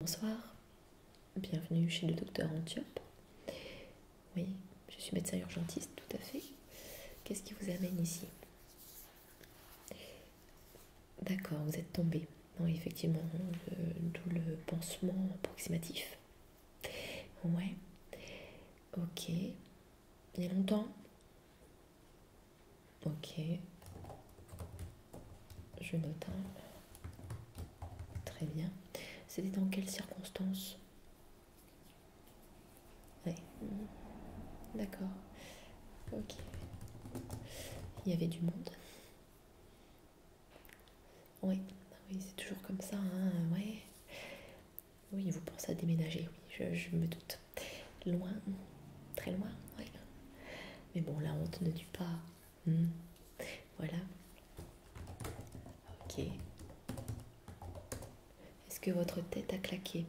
Bonsoir, bienvenue chez le docteur Antiope. Oui, je suis médecin urgentiste, tout à fait. Qu'est-ce qui vous amène ici D'accord, vous êtes tombé. Non, effectivement, euh, d'où le pansement approximatif. Ouais. Ok. Il y longtemps Ok. Je note. Hein. Très bien. C'était dans quelles circonstances Ouais. D'accord. Ok. Il y avait du monde. Oui, oui c'est toujours comme ça, hein, ouais. Oui, vous pensez à déménager, oui, je, me doute. Loin, très loin, oui. Mais bon, la honte ne tue pas. Hmm. Voilà. Ok. Est-ce que votre tête a claqué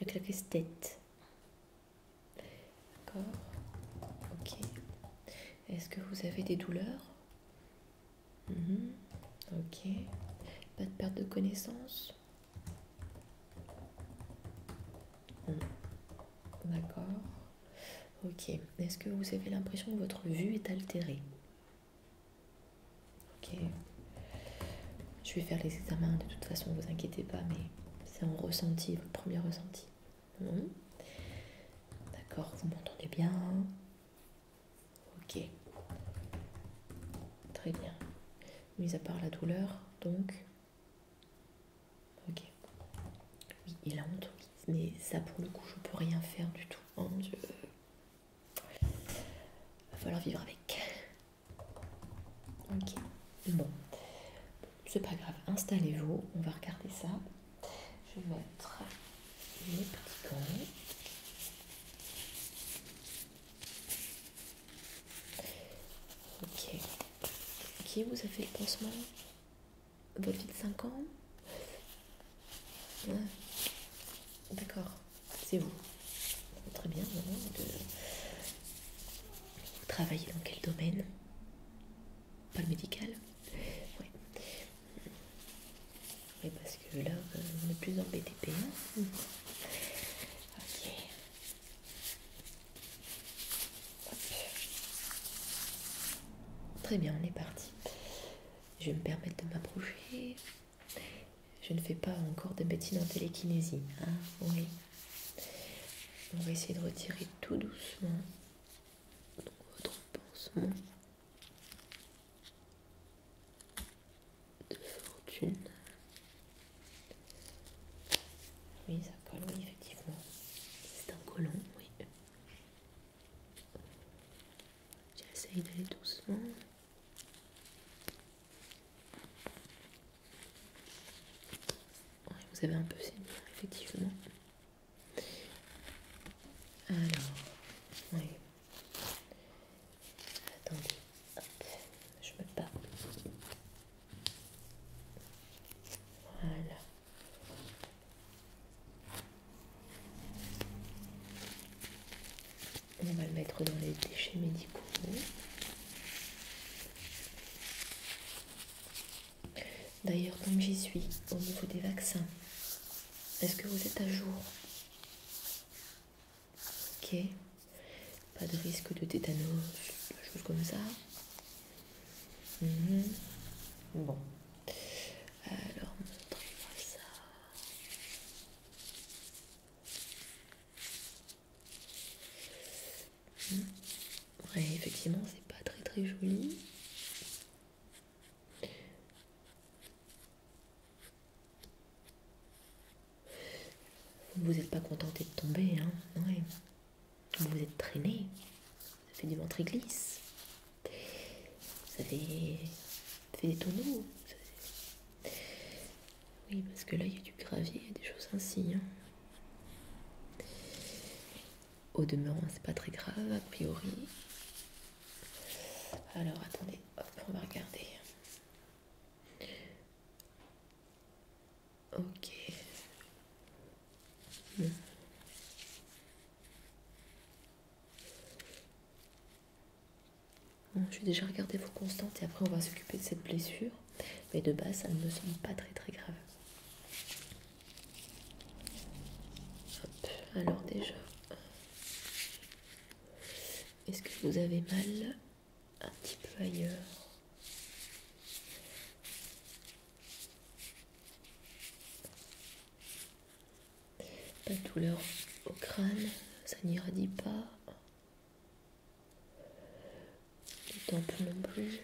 Il a claqué cette tête. D'accord Ok. Est-ce que vous avez des douleurs mhm. Ok. Pas de perte de connaissance D'accord. Ok. Est-ce que vous avez l'impression que votre vue est altérée Ok. Je vais faire les examens de toute façon, ne vous inquiétez pas, mais c'est en ressenti, votre premier ressenti. Mmh. D'accord, vous m'entendez bien Ok. Très bien. Mis à part la douleur, donc... Ok. Oui, il la honte, Mais ça, pour le coup, je peux rien faire du tout. Oh mon Dieu. Va falloir vivre avec. Ok. Bon c'est pas grave, installez-vous, on va regarder ça. Je vais mettre les petits gants. Ok. Qui vous a fait le pansement Votre de 5 ans D'accord, c'est vous. Très bien, maman. Vous dans quel domaine Pas le médical oui. Oui, parce que là, euh, on plus en hein. BTP. ok. Très bien, on est parti. Je vais me permettre de m'approcher. Je ne fais pas encore de bêtises en télékinésie. Hein oui. On va essayer de retirer tout doucement votre pansement de fortune. Oui, ça colle, oui, effectivement. C'est un colon, oui. J'essaye d'aller doucement vous avez un peu saigné, effectivement. Alors, oui. Attendez, je me parle. Voilà. On va le mettre dans les déchets médicaux. D'ailleurs, comme j'y suis, au niveau des vaccins, est-ce que vous êtes à jour Ok. Pas de risque de tétanos, de choses comme ça. Mhm. Bon. Alors, montrez-moi ça. Mmh. Ouais, effectivement, c'est pas très très joli. Vous n'êtes pas contenté de tomber, hein ouais. Vous êtes traîné. Ça fait du ventre glisse. Ça fait, fait des tonneaux. Oui, parce que là, il y a du gravier, il y a des choses ainsi. Hein. Au demeurant, c'est pas très grave, a priori. Alors, attendez, on va regarder. Ok. Bon, je vais déjà regarder vos constantes et après on va s'occuper de cette blessure mais de base ça ne me semble pas très très grave. Alors déjà, est-ce que vous avez mal un petit peu ailleurs Pas de douleur au crâne, ça n'ira pas les tempes non plus,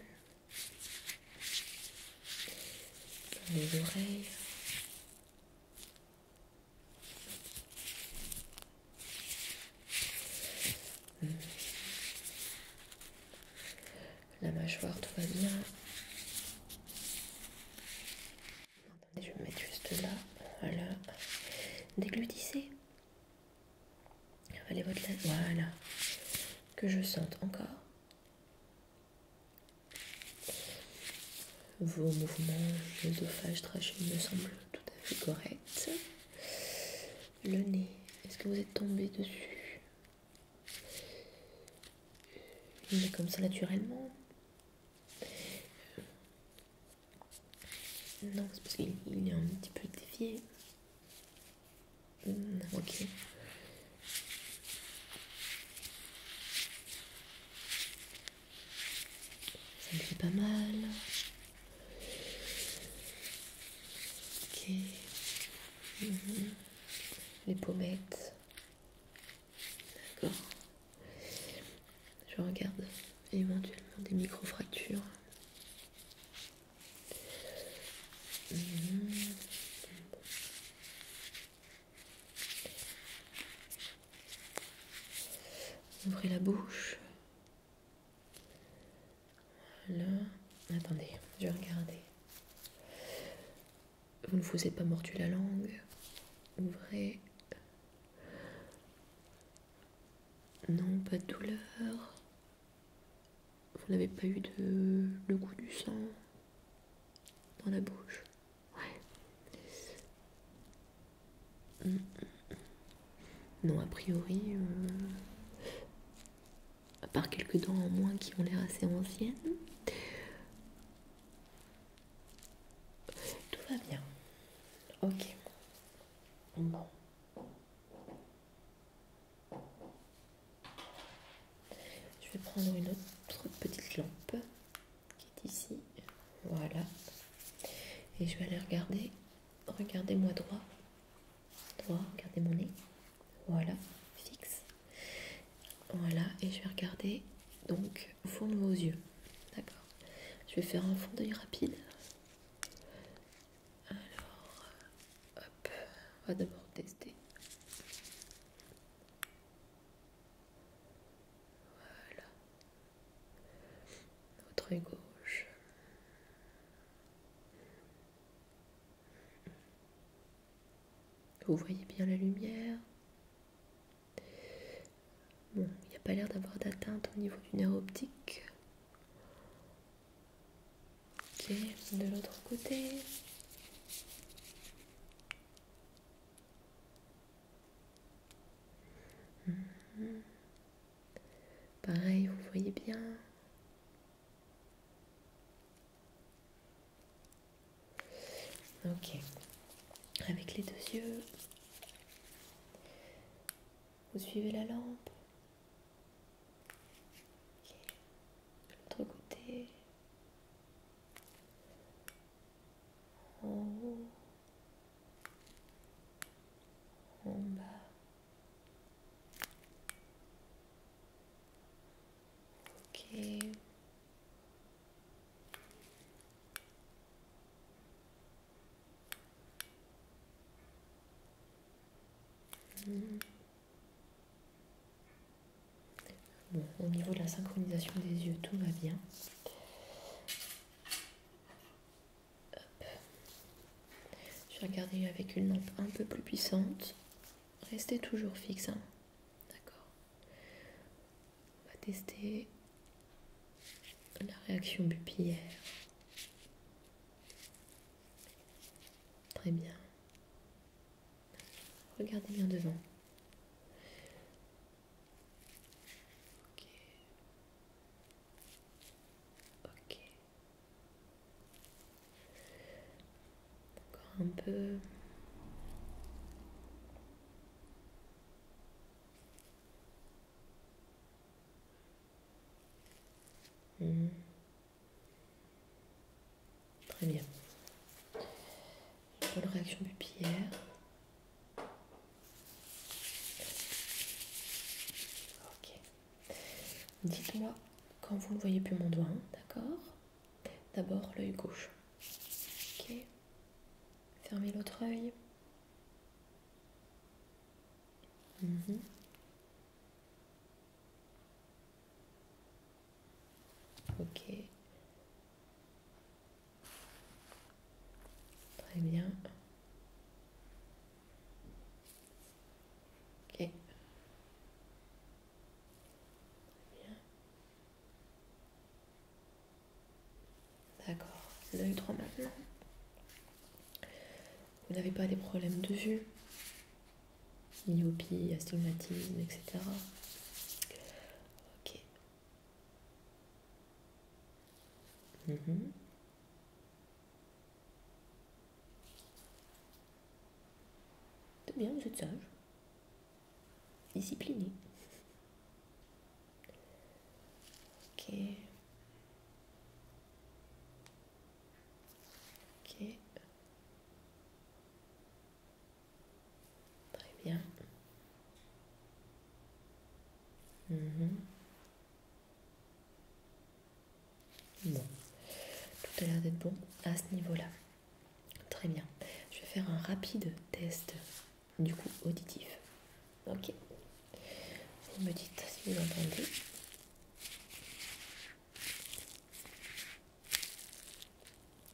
les oreilles. La mâchoire, tout va bien. Attendez, je vais me mettre juste là. Voilà. Déglutissez. Voilà. Que je sente encore. Vos mouvements d'œsophage, traché me semblent tout à fait corrects. Le nez, est-ce que vous êtes tombé dessus Il est comme ça naturellement Non, c'est parce qu'il est un petit peu défié. Mm, Ça me fait pas mal. Mm-hmm. Les pommettes. D'accord. Je regarde éventuellement des micro-fractures. Mhm. Ouvrez la bouche. Voilà. Attendez, je vais Vous ne vous êtes pas mordu la langue. Ouvrez. Non, pas de douleur. Vous n'avez pas eu de, le goût du sang dans la bouche Ouais. Mm. Non, a priori, euh, à part quelques dents en moins qui ont l'air assez anciennes, tout va bien. Ok. Bon. Je vais prendre une autre petite lampe qui est ici. Voilà. Et je vais aller regarder. Regardez-moi droit. Droit, regardez mon nez. Voilà, fixe. Voilà, et je vais regarder donc au fond de vos yeux. D'accord. Je vais faire un fond d'œil rapide. Alors, hop, on va d'abord tester. Voilà. Notre gauche. Vous voyez bien la lumière. Bon, il n'y a pas l'air d'avoir d'atteinte au niveau du nerf optique. Ok, de l'autre côté. Mhm. Pareil, vous voyez bien. Ok. Avec les deux yeux, vous suivez la lampe de l'autre côté en haut en bas ok Bon, au niveau de la synchronisation des yeux, tout va bien. Je vais regarder avec une lampe un peu plus puissante. Restez toujours fixe. Hein. D'accord. On va tester la réaction pupillaire. Très bien. Regardez bien devant. Ok. Ok. Encore un peu. Hmm. Très bien. Bonne réaction pupillaire. Ok. Dites-moi quand vous ne voyez plus mon doigt, d'accord D'abord l'œil gauche. Ok. Fermez l'autre œil. Mhm. Ok. Très bien. Ok. Très bien. D'accord, l'œil droit maintenant. Vous n'avez pas des problèmes de vue, myopie, astigmatisme, etc. Ok. Mhm. C'est bien, vous êtes sage, discipliné. Ok. Ok. Très bien. Mhm. Bon. Tout a l'air d'être bon à ce niveau-là. Très bien. Je vais faire un rapide test du coup auditif. Ok. Vous me dites si vous entendez.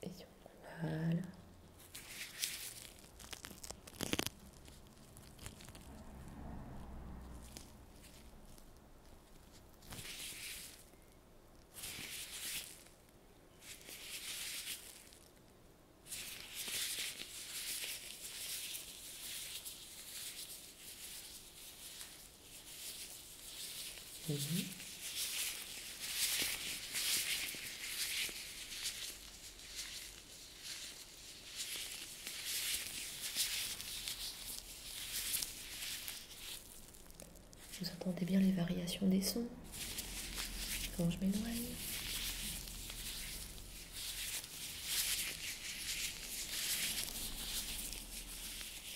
Et si on... Voilà. Mhm. Vous entendez bien les variations des sons quand je m'éloigne.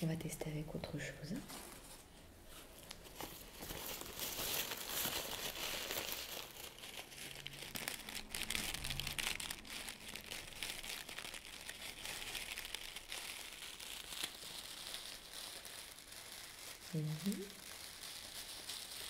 On va tester avec autre chose.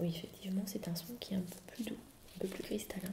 Oui, effectivement, c'est un son qui est un peu plus doux, un peu plus cristallin.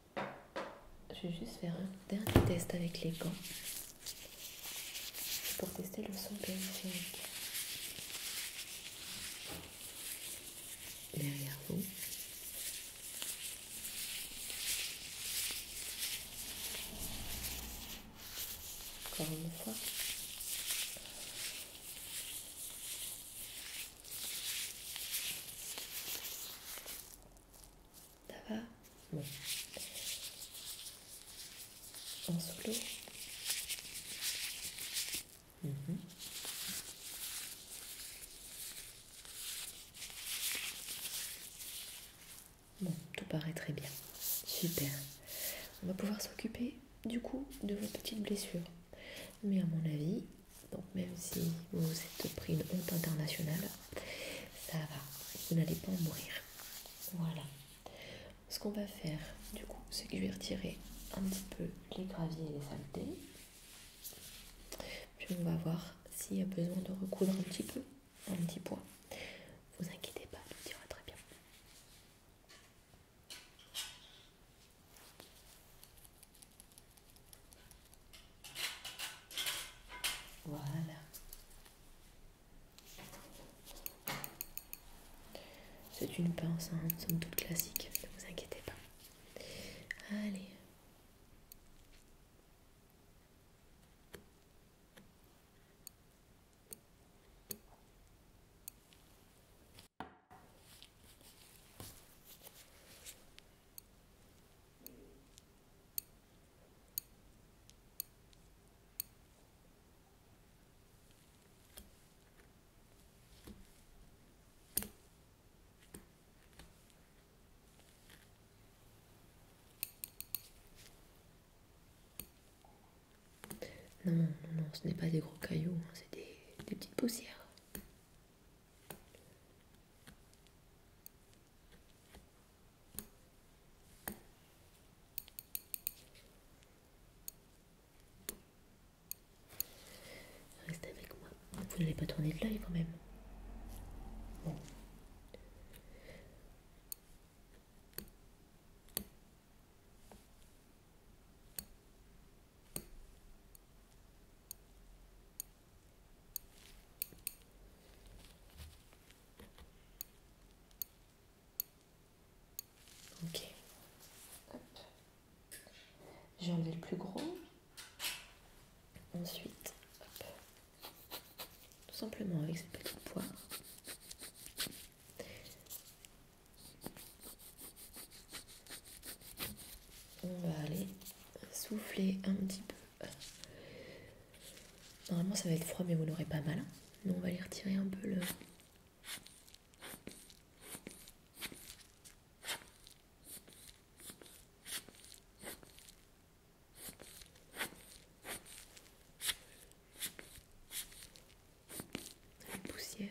Je vais juste faire un dernier test avec les gants pour tester le son périphérique. Derrière vous. Encore une fois. Ça va Bon. En solo mhm. Bon, tout paraît très bien. Super. On va pouvoir s'occuper du coup de vos petites blessures. Mais à mon avis, donc même si vous vous êtes pris une honte internationale, ça va, vous n'allez pas en mourir. Voilà. Ce qu'on va faire, du coup, c'est que je vais retirer un petit peu les graviers et les saletés. Puis on va voir s'il y a besoin de recoudre un petit peu, un petit point. Vous inquiétez pas, tout ira très bien. Voilà. C'est une pince, hein, somme toute classique, ne vous inquiétez pas. Allez. Non, non, ce n'est pas des gros cailloux, hein, c'est des petites poussières. Restez avec moi. Vous n'allez pas tourner de l'œil quand même. Ok. J'ai enlevé le plus gros. Ensuite, tout simplement avec cette petite poire. On va aller souffler un petit peu Normalement, ça va être froid, mais vous l'aurez pas mal. Hein. Nous on va les retirer un peu le. poussière.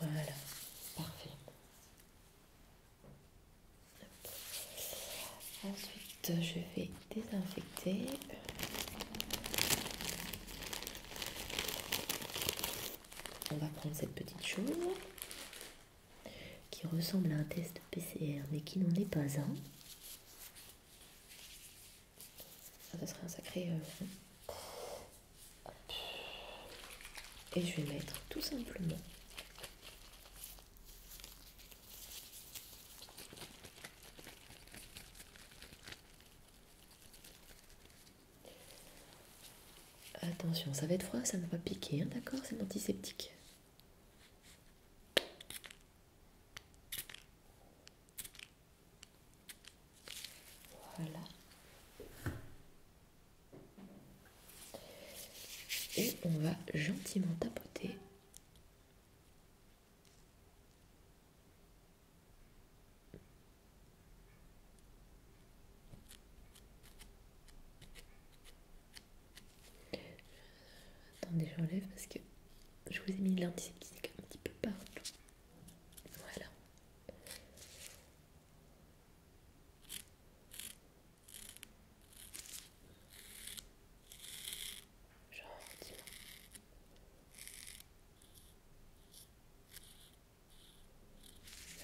Voilà, parfait. Ensuite, je vais désinfecter. On va prendre cette petite chose qui ressemble à un test PCR mais qui n'en est pas un. Ah, ça serait un sacré. Euh, Et je vais mettre tout simplement. Attention, ça va être froid, ça ne va pas piquer, hein, d'accord C'est antiseptique. Voilà. Et on va gentiment tapoter. Attendez, j'enlève parce que je vous ai mis de l'antiseptique un petit peu partout. Voilà.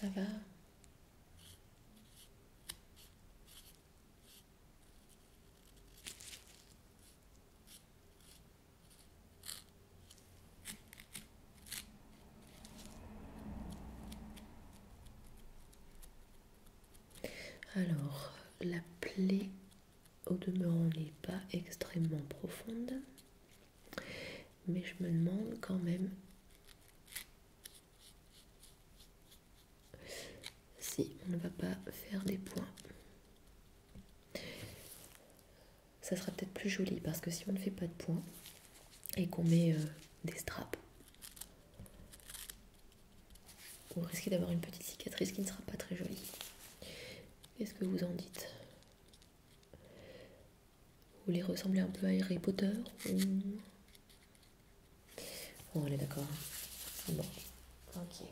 Je dis Ça va alors, la plaie au demeurant n'est pas extrêmement profonde, mais je me demande quand même si on ne va pas faire des points ça sera peut-être plus joli parce que si on ne fait pas de points et qu'on met euh, des straps, vous risquez d'avoir une petite cicatrice qui ne sera pas très jolie. Qu'est-ce que vous en dites Vous les ressemblez un peu à Harry Potter ou... On est d'accord. Hein. Bon, ok.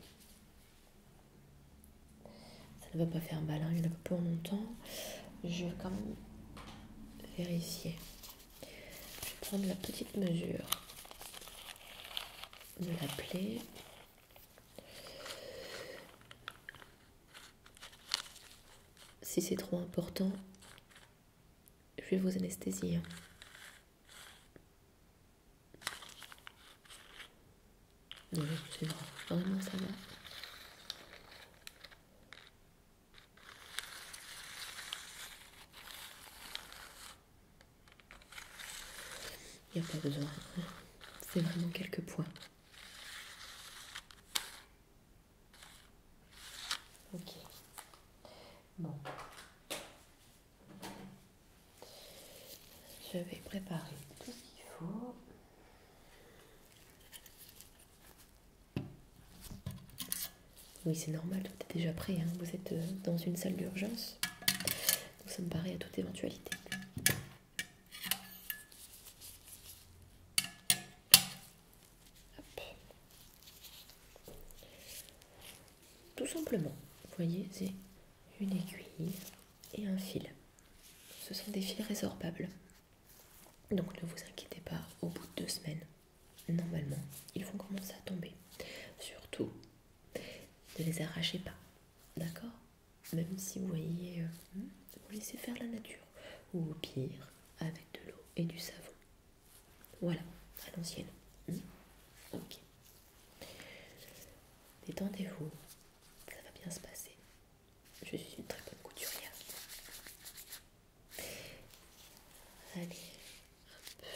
Ça ne va pas faire un hein. il pour longtemps. Je vais quand même vérifier. Je vais prendre la petite mesure de la plaie. Si c'est trop important, je vais vous anesthésier. Il n'y a pas besoin. C'est vraiment quelques points. Ok. Bon. Je vais préparer tout ce qu'il faut. Oui, c'est normal, tout est déjà prêt. Hein. Vous êtes euh, dans une salle d'urgence. Donc ça me paraît à toute éventualité. Tout simplement, vous voyez, c'est une aiguille et un fil. Ce sont des fils résorbables. Donc ne vous inquiétez pas, au bout de deux semaines, normalement, ils vont commencer à tomber. Surtout, ne les arrachez pas, d'accord Même si vous voyez, euh, hmm, vous laissez faire la nature, ou au pire, avec de l'eau et du savon. Voilà, à l'ancienne. Hmm ok. Détendez-vous, ça va bien se passer. Je suis une très bonne couturière. Allez, peu...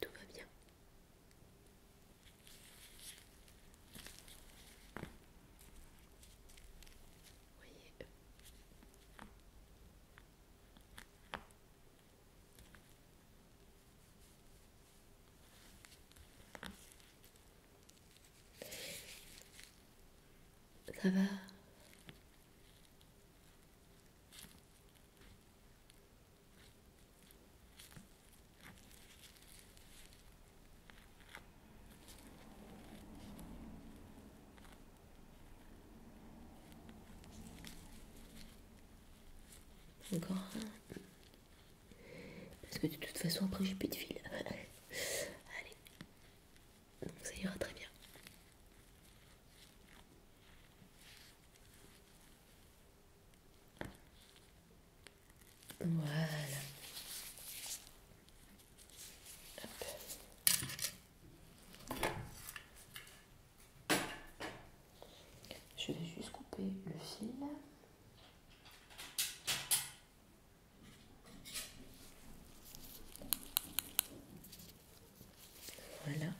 Tout va bien. Voyez. Ça va Encore un. Parce que de toute façon, après, j'ai plus de fil. Allez, ça ira très bien. Voilà. Je vais juste couper le fil. Voilà.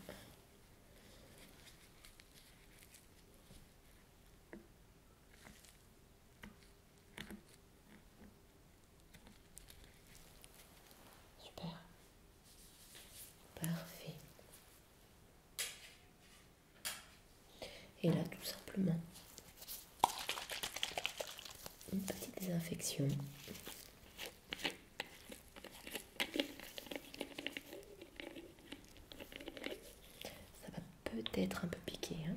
Super. Parfait. Et là, tout simplement, une petite désinfection. Ça va peut-être un peu piquer. Hein.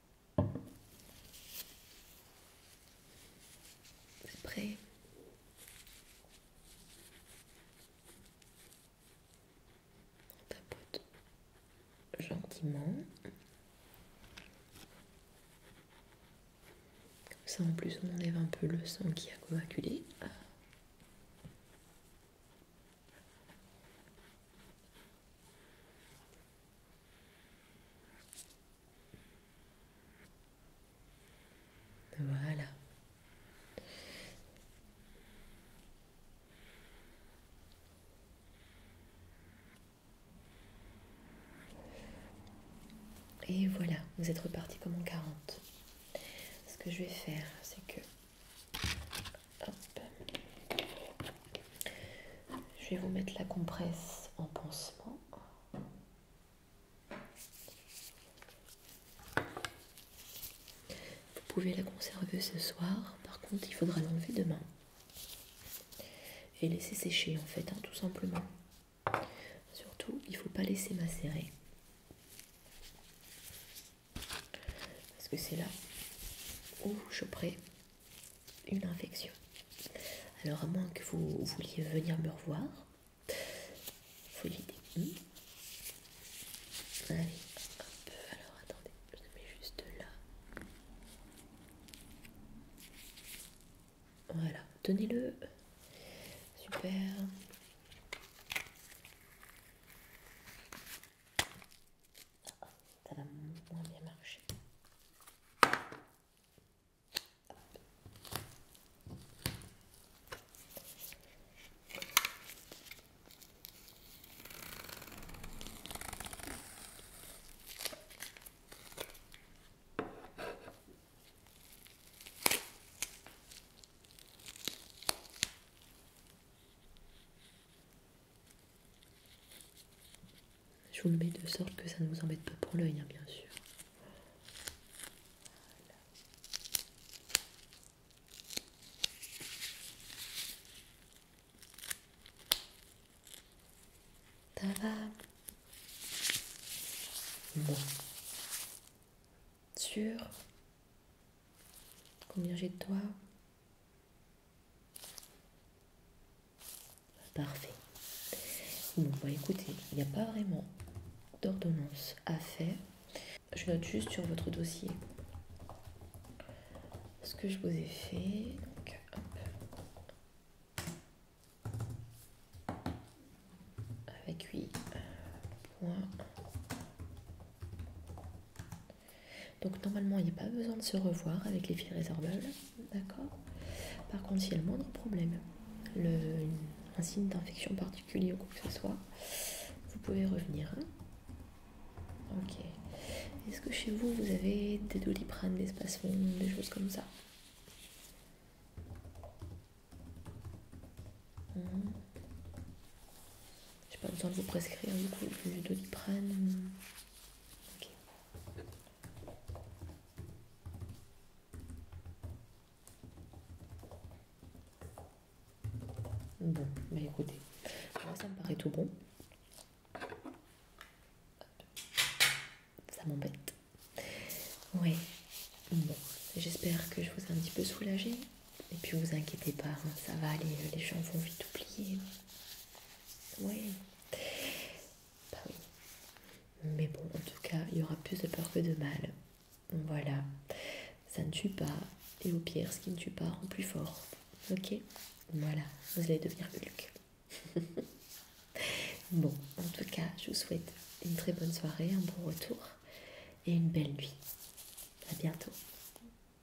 C'est On tapote gentiment. Comme ça en plus on enlève un peu le sang qui a coagulé. Voilà. Et voilà, vous êtes reparti comme en 40. Ce que je vais faire, c'est que je vais vous mettre la compresse en pansement. Vous pouvez la conserver ce soir, par contre il faudra l'enlever demain. Et laisser sécher en fait, hein, tout simplement. Surtout, il ne faut pas laisser macérer. Parce que c'est là où je choperez une infection. Alors, à moins que vous vouliez venir me revoir, faut éviter. Hmm. Allez, hop, alors attendez, je le mets juste là. Voilà, tenez-le. Super. Ça va moins bien marcher. Je vous le mets de sorte que ça ne vous embête pas pour l'œil, hein, bien sûr. Voilà. Ça va Bon. Sûr Combien j'ai de toi Parfait. Bon, bah écoutez, il n'y a pas vraiment d'ordonnance à faire. Je note juste sur votre dossier ce que je vous ai fait. Avec 8 donc normalement, il n'y a pas besoin de se revoir avec les filles résorbables, d'accord Par contre, s'il y a le moindre problème, le, un signe d'infection particulier ou quoi que ce soit, vous pouvez revenir. Hein ok. Est-ce que chez vous, vous avez des doliprane, des spasmes, des choses comme ça mmh. J'ai pas besoin de vous prescrire du coup du doliprane. Ok. Bon, bah écoutez, moi ça me paraît tout bon. Ça m'embête. Oui, Bon, j'espère que je vous ai un petit peu soulagé. Et puis vous inquiétez pas, hein, ça va aller, les gens vont vite oublier. Bah oui. Mais bon, en tout cas, il y aura plus de peur que de mal. Voilà. Ça ne tue pas. Et au pire, ce qui ne tue pas rend plus fort. Ok Voilà. Vous allez devenir luc bon, en tout cas, je vous souhaite une très bonne soirée, un bon retour et une belle nuit. À bientôt.